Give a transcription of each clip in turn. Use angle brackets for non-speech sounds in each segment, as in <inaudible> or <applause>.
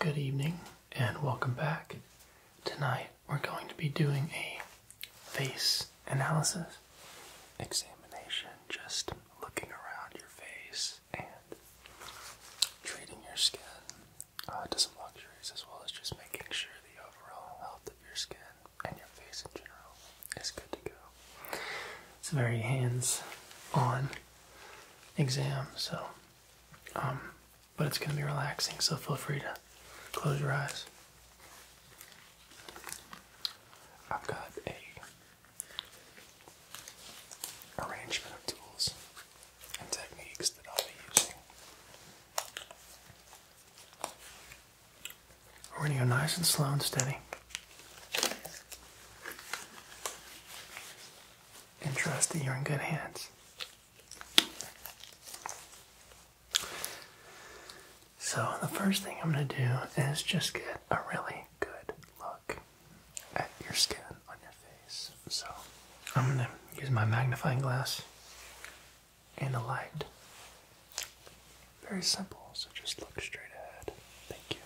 Good evening and welcome back. Tonight we're going to be doing a face analysis examination, just looking around your face and treating your skin uh, to some luxuries as well as just making sure the overall health of your skin and your face in general is good to go. It's a very hands on exam, so um, but it's going to be relaxing, so feel free to close your eyes. I've got a arrangement of tools and techniques that I'll be using. We're going to go nice and slow and steady and trust that you're in good hands. So, the first thing I'm going to do is just get a really good look at your skin on your face. So, I'm going to use my magnifying glass and a light. Very simple, so just look straight ahead. Thank you.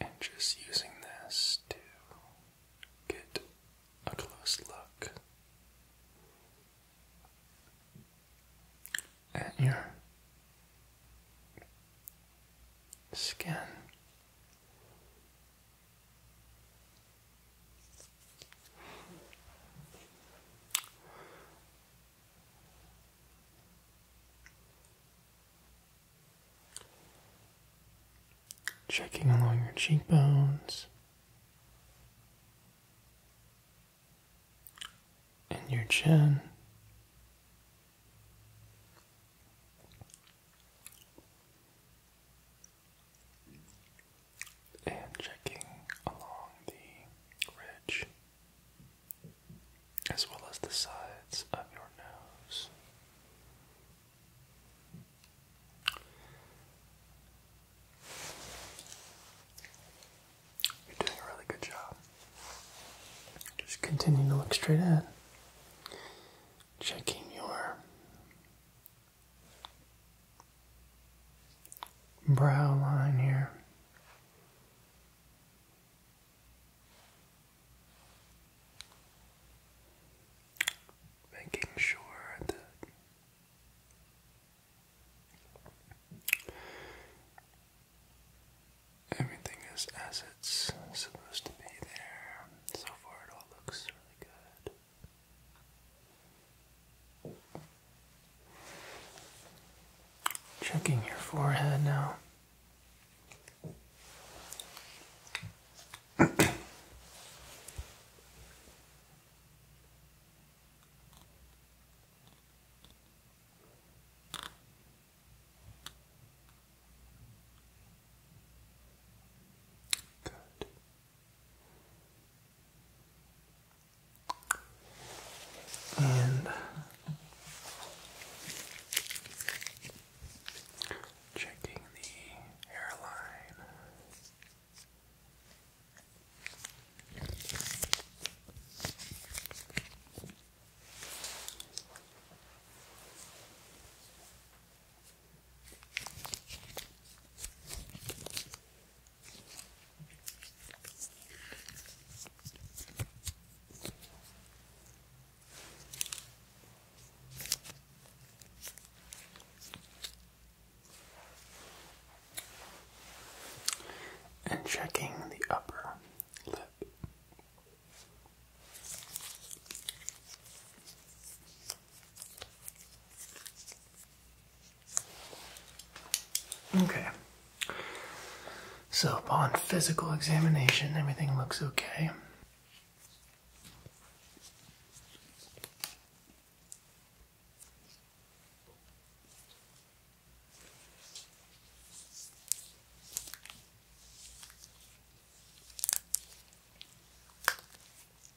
And just using this to get a close look at your skin Checking along your cheekbones and your chin and checking along the ridge as well as the sides of your nose. You're doing a really good job. Just continuing to look straight ahead, checking your brow line here. Making sure that everything is as it's supposed to be there. So far, it all looks really good. Checking your forehead now. <coughs> Good. And checking the hairline. And checking the upper lip. Okay. So, upon physical examination, everything looks okay.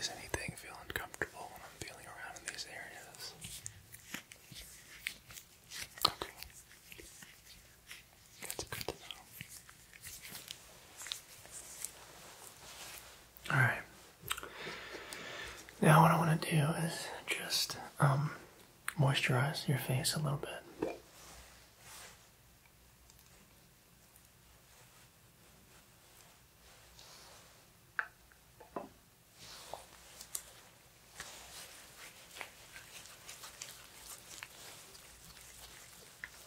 Is anything feel uncomfortable when I'm feeling around in these areas? Okay. That's good to know. All right. Now what I want to do is just um, moisturize your face a little bit.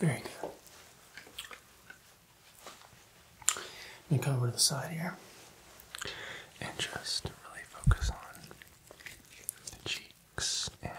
Very good. You come over to the side here and just really focus on the cheek and side area.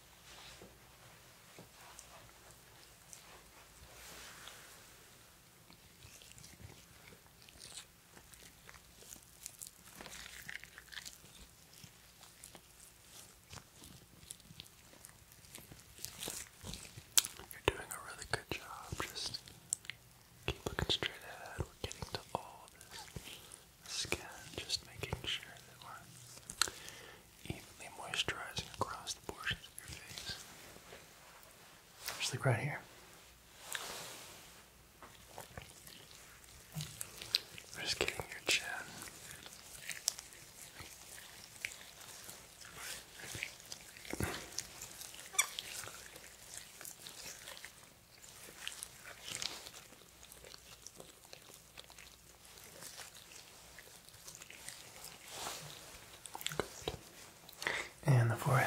You're doing a really good job. Just keep looking straight ahead. We're getting to all of this skin, just making sure that we're evenly moisturizing across the portions of your face. Just like right here. just getting your chin. And the forehead.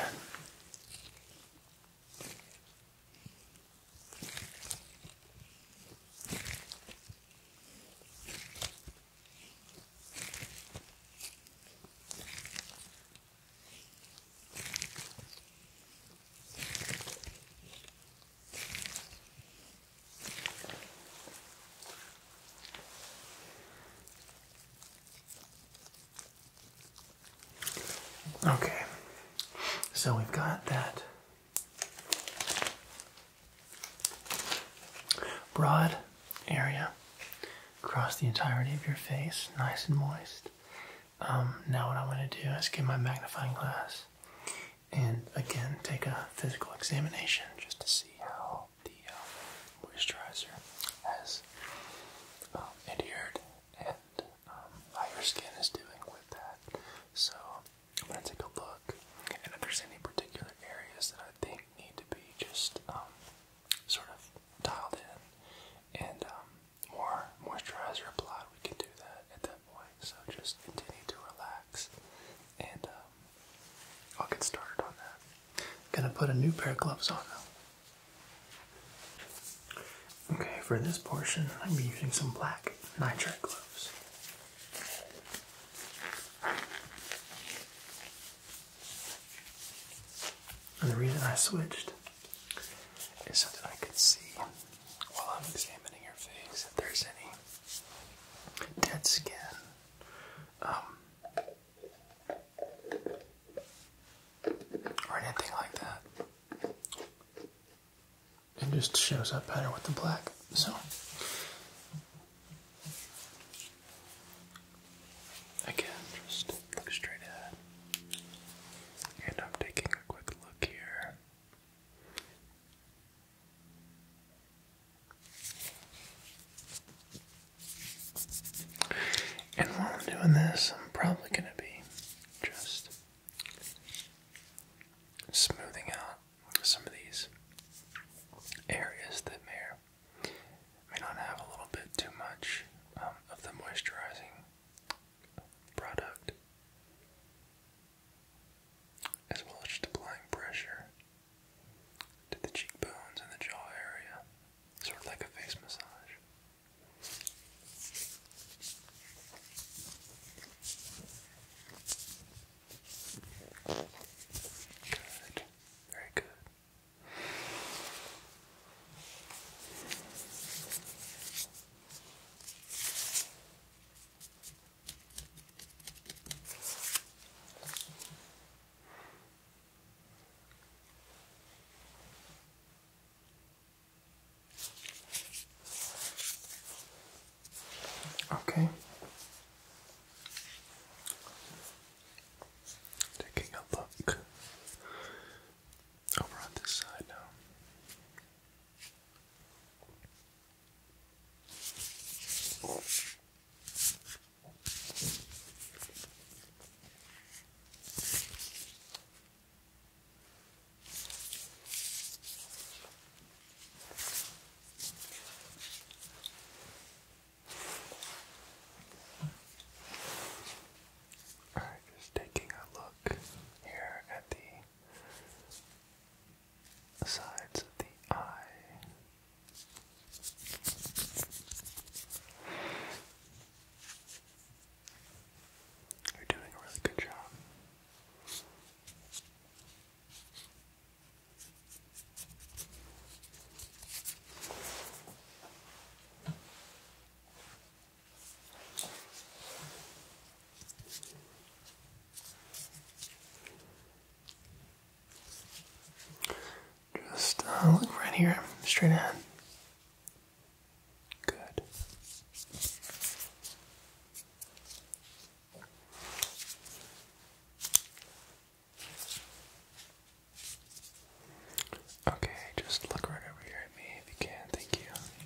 Okay, so we've got that broad area across the entirety of your face, nice and moist. Um, now, what I'm going to do is get my magnifying glass and again take a physical examination just to see how the uh, moisturizer has um, adhered and um, how your skin is doing with that. So I'm gonna take a look, and if there's any particular areas that I think need to be just um, sort of dialed in and um, more moisturizer applied, we can do that so just continue to relax, and um, I'll get started on that. am gonna put a new pair of gloves on Okay, for this portion, I'm using some black nitrate gloves. And the reason I switched is so that I could see while I'm examining your face if there's any dead skin. Um, or anything like that. It just shows up better with the black. So again, just look straight ahead. And I'm taking a quick look here. And while I'm doing this, I'm probably going to be just smoothing out some of these areas that may may not have a little bit too much um, of the moisturizing product as well as just applying pressure to the cheekbones and the jaw area, sort of like a face massage. Good. Very good. Okay. Taking a look over on this side now. All right, just taking a look here at the the sides of the eye. are doing a really good job. Just uh, look right here, straight ahead. Good. Okay, just look right over here at me if you can. Thank you.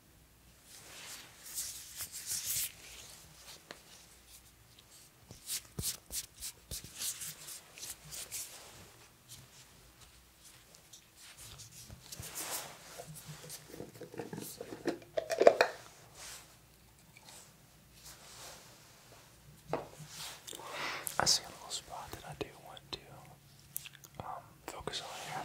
I see a little spot that I do want to um, focus on here.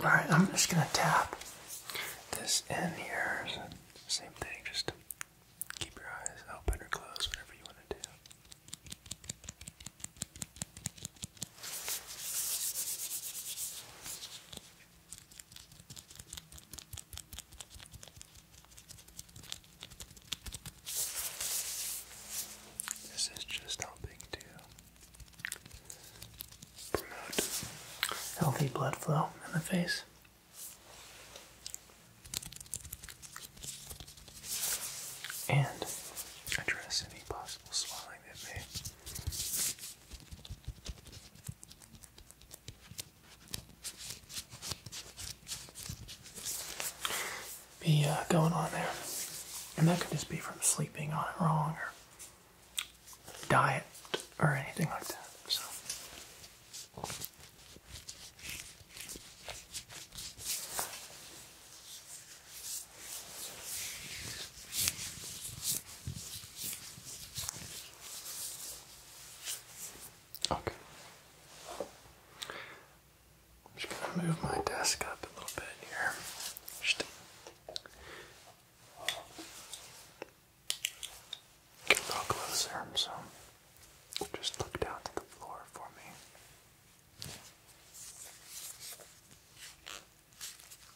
All right, I'm just going to tap this in here. Same thing, just keep your eyes open or close, whatever you want to do. This is just helping to promote healthy blood flow in the face. And address any possible swelling that may be uh, going on there. And that could just be from sleeping on it wrong or diet or anything like that. So Okay. just gonna move my desk up a little bit here. get a little closer, so just look down to the floor for me.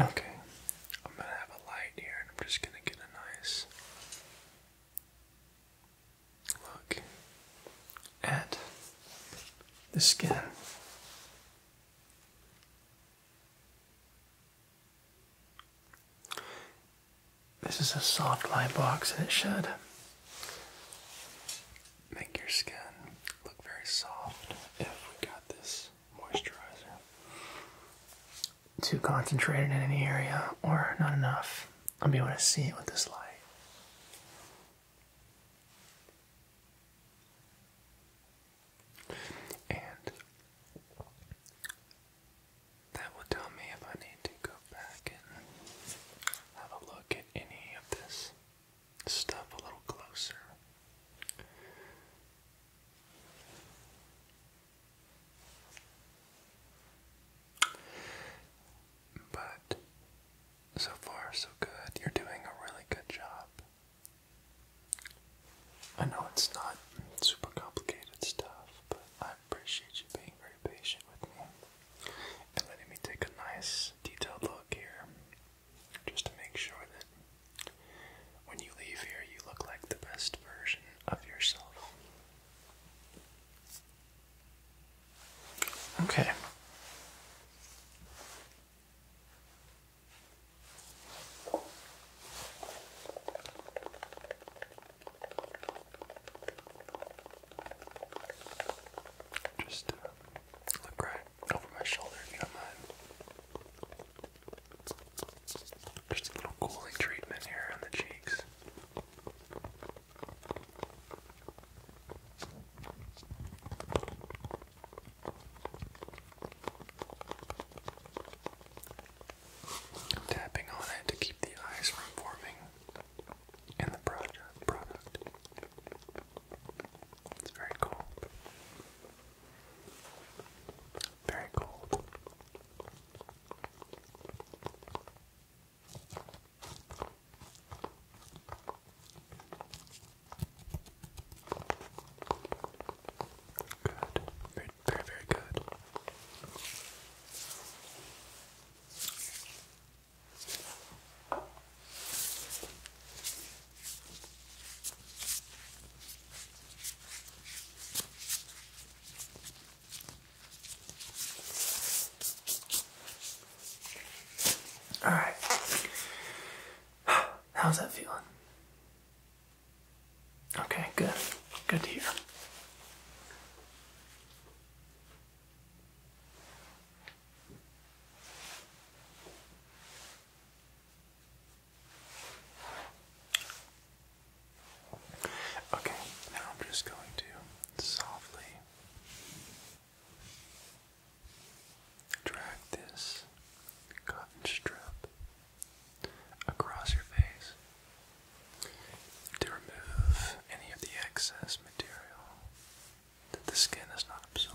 Okay, I'm gonna have a light here and I'm just gonna get a nice look at the skin. This is a soft light box and it should make your skin look very soft if we got this moisturizer. Too concentrated in any area or not enough. I'll be able to see it with this light. And that will tell me if I need to go back and have a look at any of this stuff a little closer. But so far, so good. You're doing a really good job. I know it's not super complicated stuff, but I appreciate you being patient with me and letting me take a nice detailed look here just to make sure that when you leave here you look like the best version of yourself. Okay. Just uh, look right over my shoulder if you don't mind. Just a little cooling treatment here on the cheeks. tapping on it to keep the eyes from forming in the project product. It's very cool. Very cool. Good. Very, very, very good. All right. How's that feeling? Okay, good. Good to hear. Okay, now I'm just going to softly drag this cotton strip across your face to remove any of the excess material that the skin has not absorbed.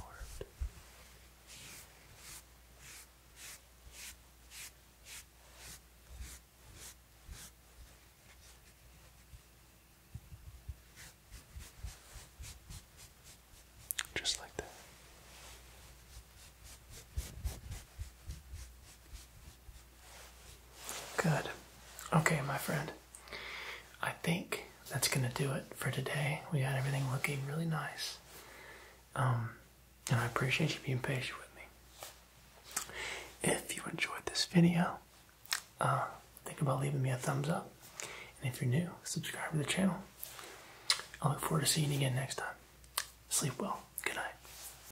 Just like that. Good. Okay, my friend. I think that's gonna do it for today. We got everything looking really nice. Um, and I appreciate you being patient with me. If you enjoyed this video, uh, think about leaving me a thumbs up. And if you're new, subscribe to the channel. I look forward to seeing you again next time. Sleep well. Good night.